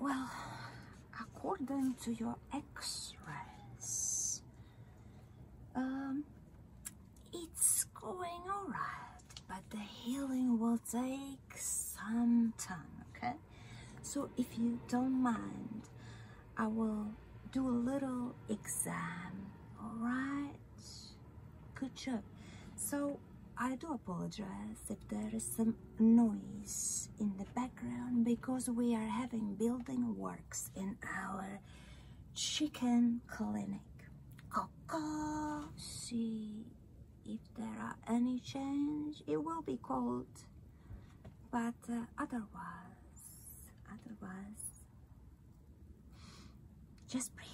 Well, according to your x-rays, um, it's going alright, but the healing will take some time, okay? So if you don't mind, I will do a little exam, alright? Good job. So I do apologize if there is some noise in the background because we are having building works in our chicken clinic. Coco, see if there are any change. It will be called but uh, otherwise otherwise just breathe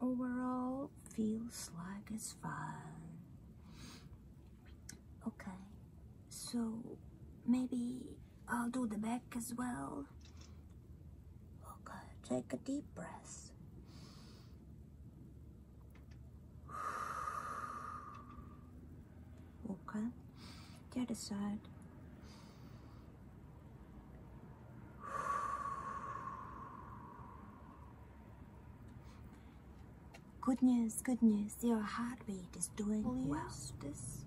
Overall, feels like it's fine. Okay, so maybe I'll do the back as well. Okay, take a deep breath okay the other side good news good news your heartbeat is doing well use this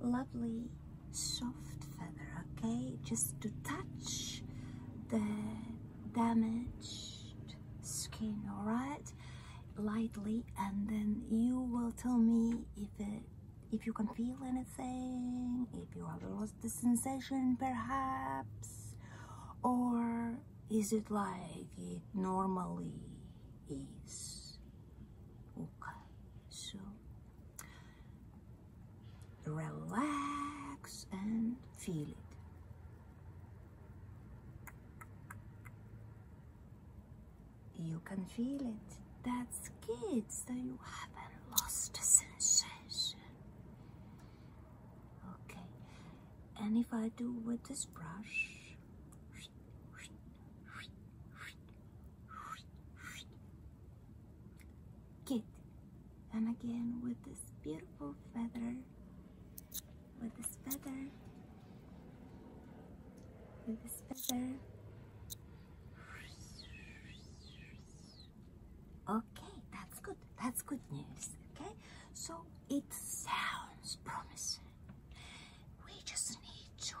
lovely soft feather okay just to touch the damaged skin all right lightly and then you will tell me if it if you can feel anything, if you have lost the sensation perhaps, or is it like it normally is? Okay, so relax and feel it. You can feel it. That's good. So you haven't lost the sensation. Okay. And if I do with this brush. Good. And again with this beautiful feather. With this feather this feather. Okay, that's good. That's good news. Okay, so it sounds promising. We just need to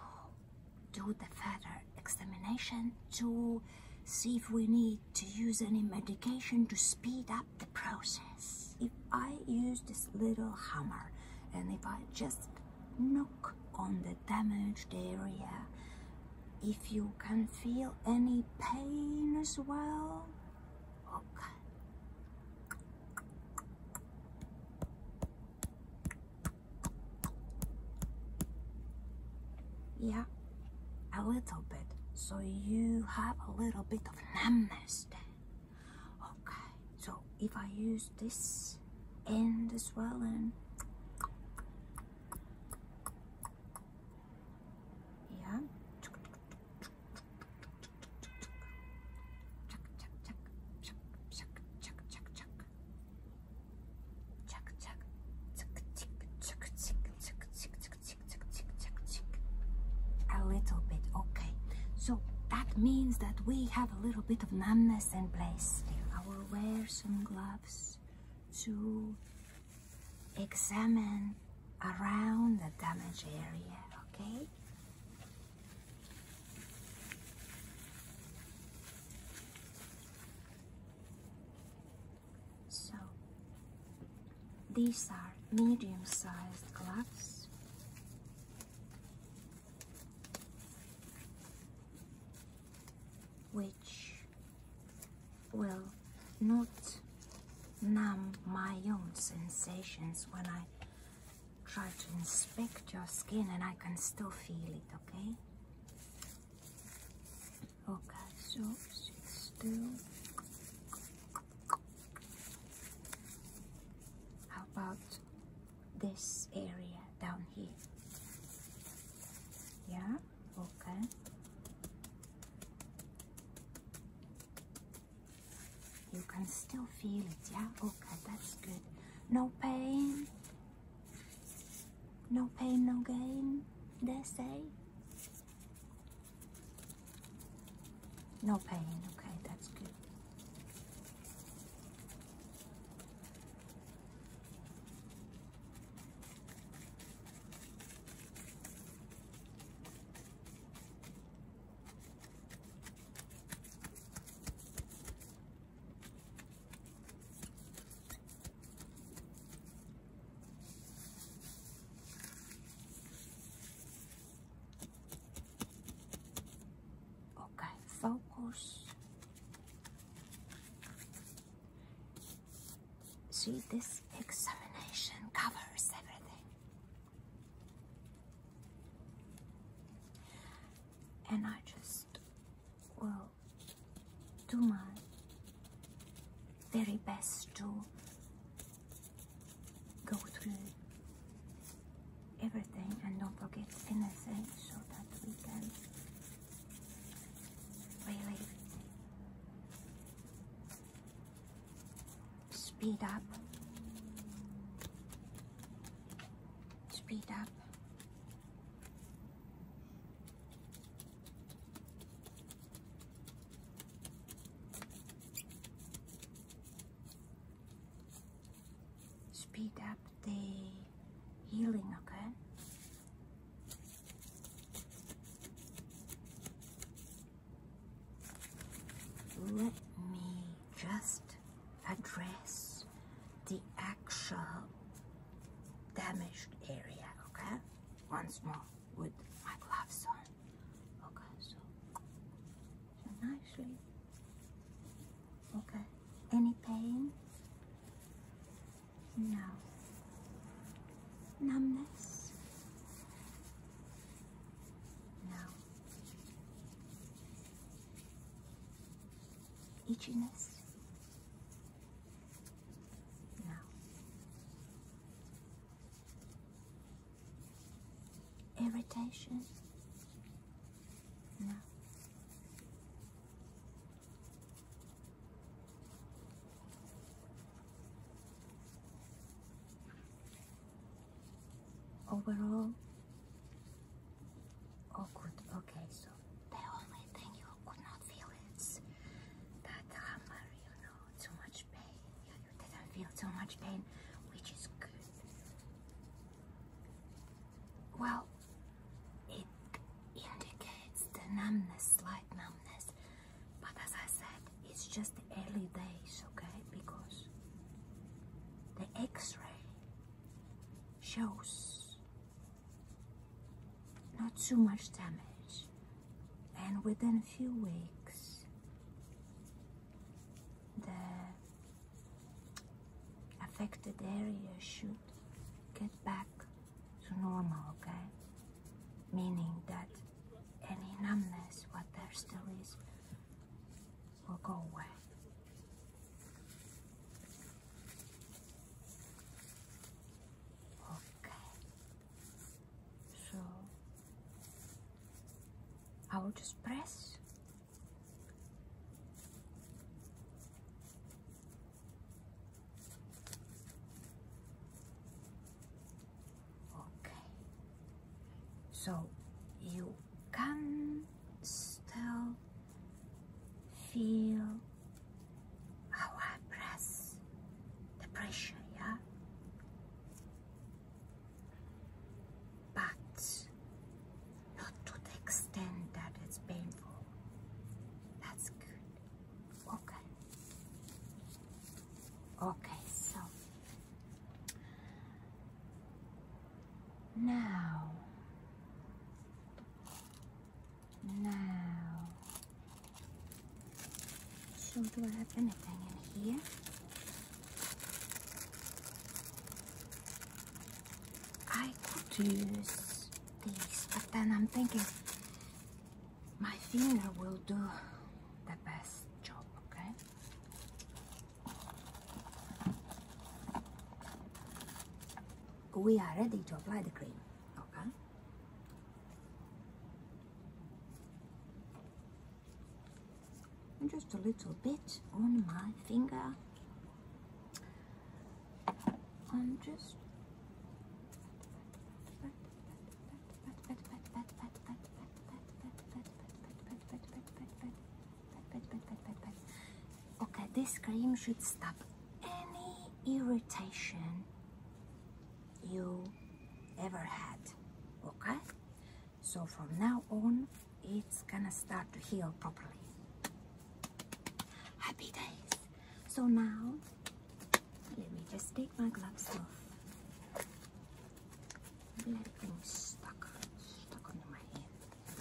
do the further examination to see if we need to use any medication to speed up the process. If I use this little hammer and if I just knock on the damaged area. If you can feel any pain as well, okay. Yeah, a little bit. So you have a little bit of numbness there. Okay, so if I use this end as well and yeah. A little bit, okay. So that means that we have a little bit of numbness in place. I will wear some gloves to examine around the damaged area, okay? So, these are medium-sized gloves which will not numb my own sensations when I try to inspect your skin and I can still feel it, okay? Okay, so sit still. How about this area down here? Yeah, okay. You can still feel it, yeah? Okay, that's good. No pain. No pain, no gain, they say. No pain, okay, that's good. Okay, focus. See, this examination covers everything. And I just will do my very best to go through everything and don't forget anything so that we can really speed up speed up Speed up the healing, okay? Let me just address the actual damaged area, okay? Once more with my gloves on. Okay, so, nicely. Okay. Any pain? No. Numbness? No. Itchiness? No. Irritation? No. Overall? Okay, so the only thing you could not feel is that hammer, no, too much pain. you didn't feel too much pain, which is good. Well, it indicates the numbness, slight numbness, but as I said, it's just the early days, okay? Because the X-ray shows not too much damage and within a few weeks the affected area should get back to normal okay meaning that any numbness what there still is will go away okay so I will just press. Okay. So you can still feel how I press the pressure, yeah? But not to the extent that it's painful. That's good. Okay. Okay, so now now, so I have anything in here? I could use these, but then I'm thinking my finger will do the best job, okay? We are ready to apply the cream, okay? just a little bit on my finger. I'm just Okay, this cream should stop any irritation you ever had. Okay? So from now on, it's gonna start to heal properly. Happy days. So now, let me just take my gloves off. Let things stuck, stuck under my hand.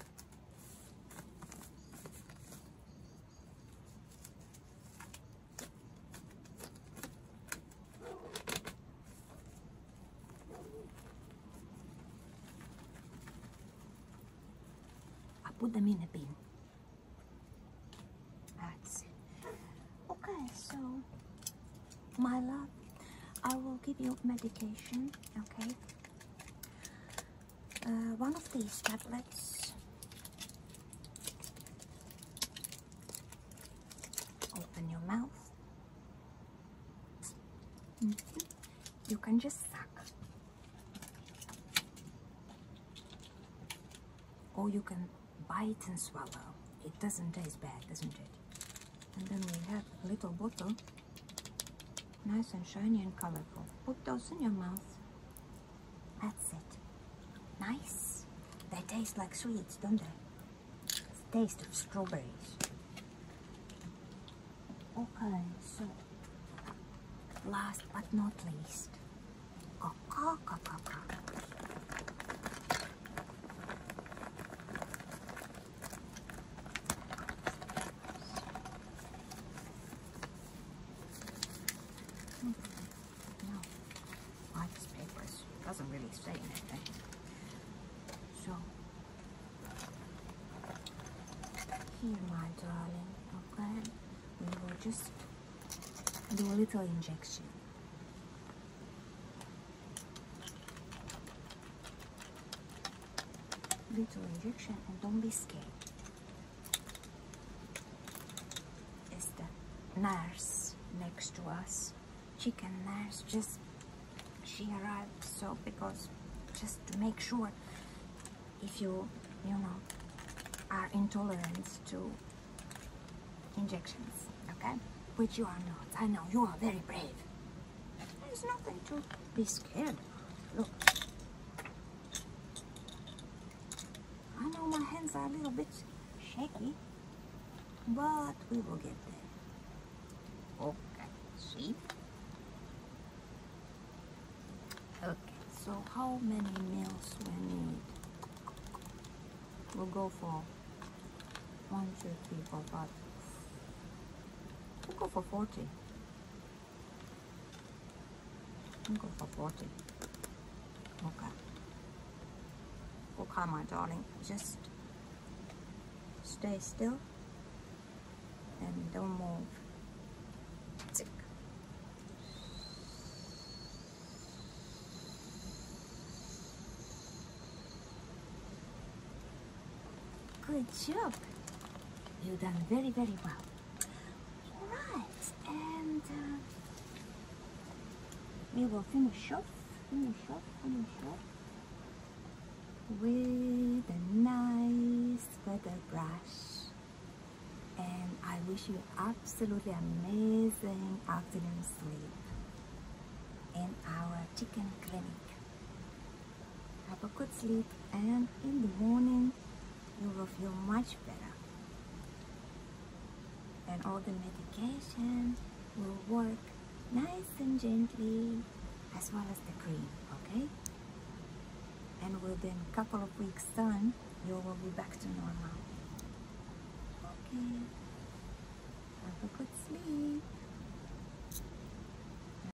I put them in a bin. That's it. Okay, so my love, I will give you medication, okay? Uh, one of these tablets. Open your mouth. Mm-hmm. You can just suck. Or you can bite and swallow. It doesn't taste bad, doesn't it? And then we have a little bottle. Nice and shiny and colorful. Put those in your mouth. That's it. Nice. They taste like sweets, don't they? The taste of strawberries. Okay, so last but not least, cocoa, cocoa, Hmm. No. Why paper doesn't really say anything. So, here, my darling, okay? We will just do a little injection. Little injection and don't be scared is the nurse next to us chicken nurse just she arrived so because just to make sure if you you know are intolerant to injections okay which you are not i know you are very brave there's nothing to be scared look I know my hands are a little bit shaky, but we will get there. Okay, see? Okay, so how many meals we need? We'll go for one, two, three, four, five. We'll go for 40. Go for 40. Okay. Okay, my darling. Just stay still and don't move. Tick. Good job. You've done very, very well. Right, and uh, we will finish off, finish off with a nice feather brush. And I wish you absolutely amazing afternoon sleep in our chicken clinic have a good sleep and in the morning you will feel much better and all the medication will work nice and gently as well as the cream okay and within a couple of weeks time you will be back to normal okay have a good sleep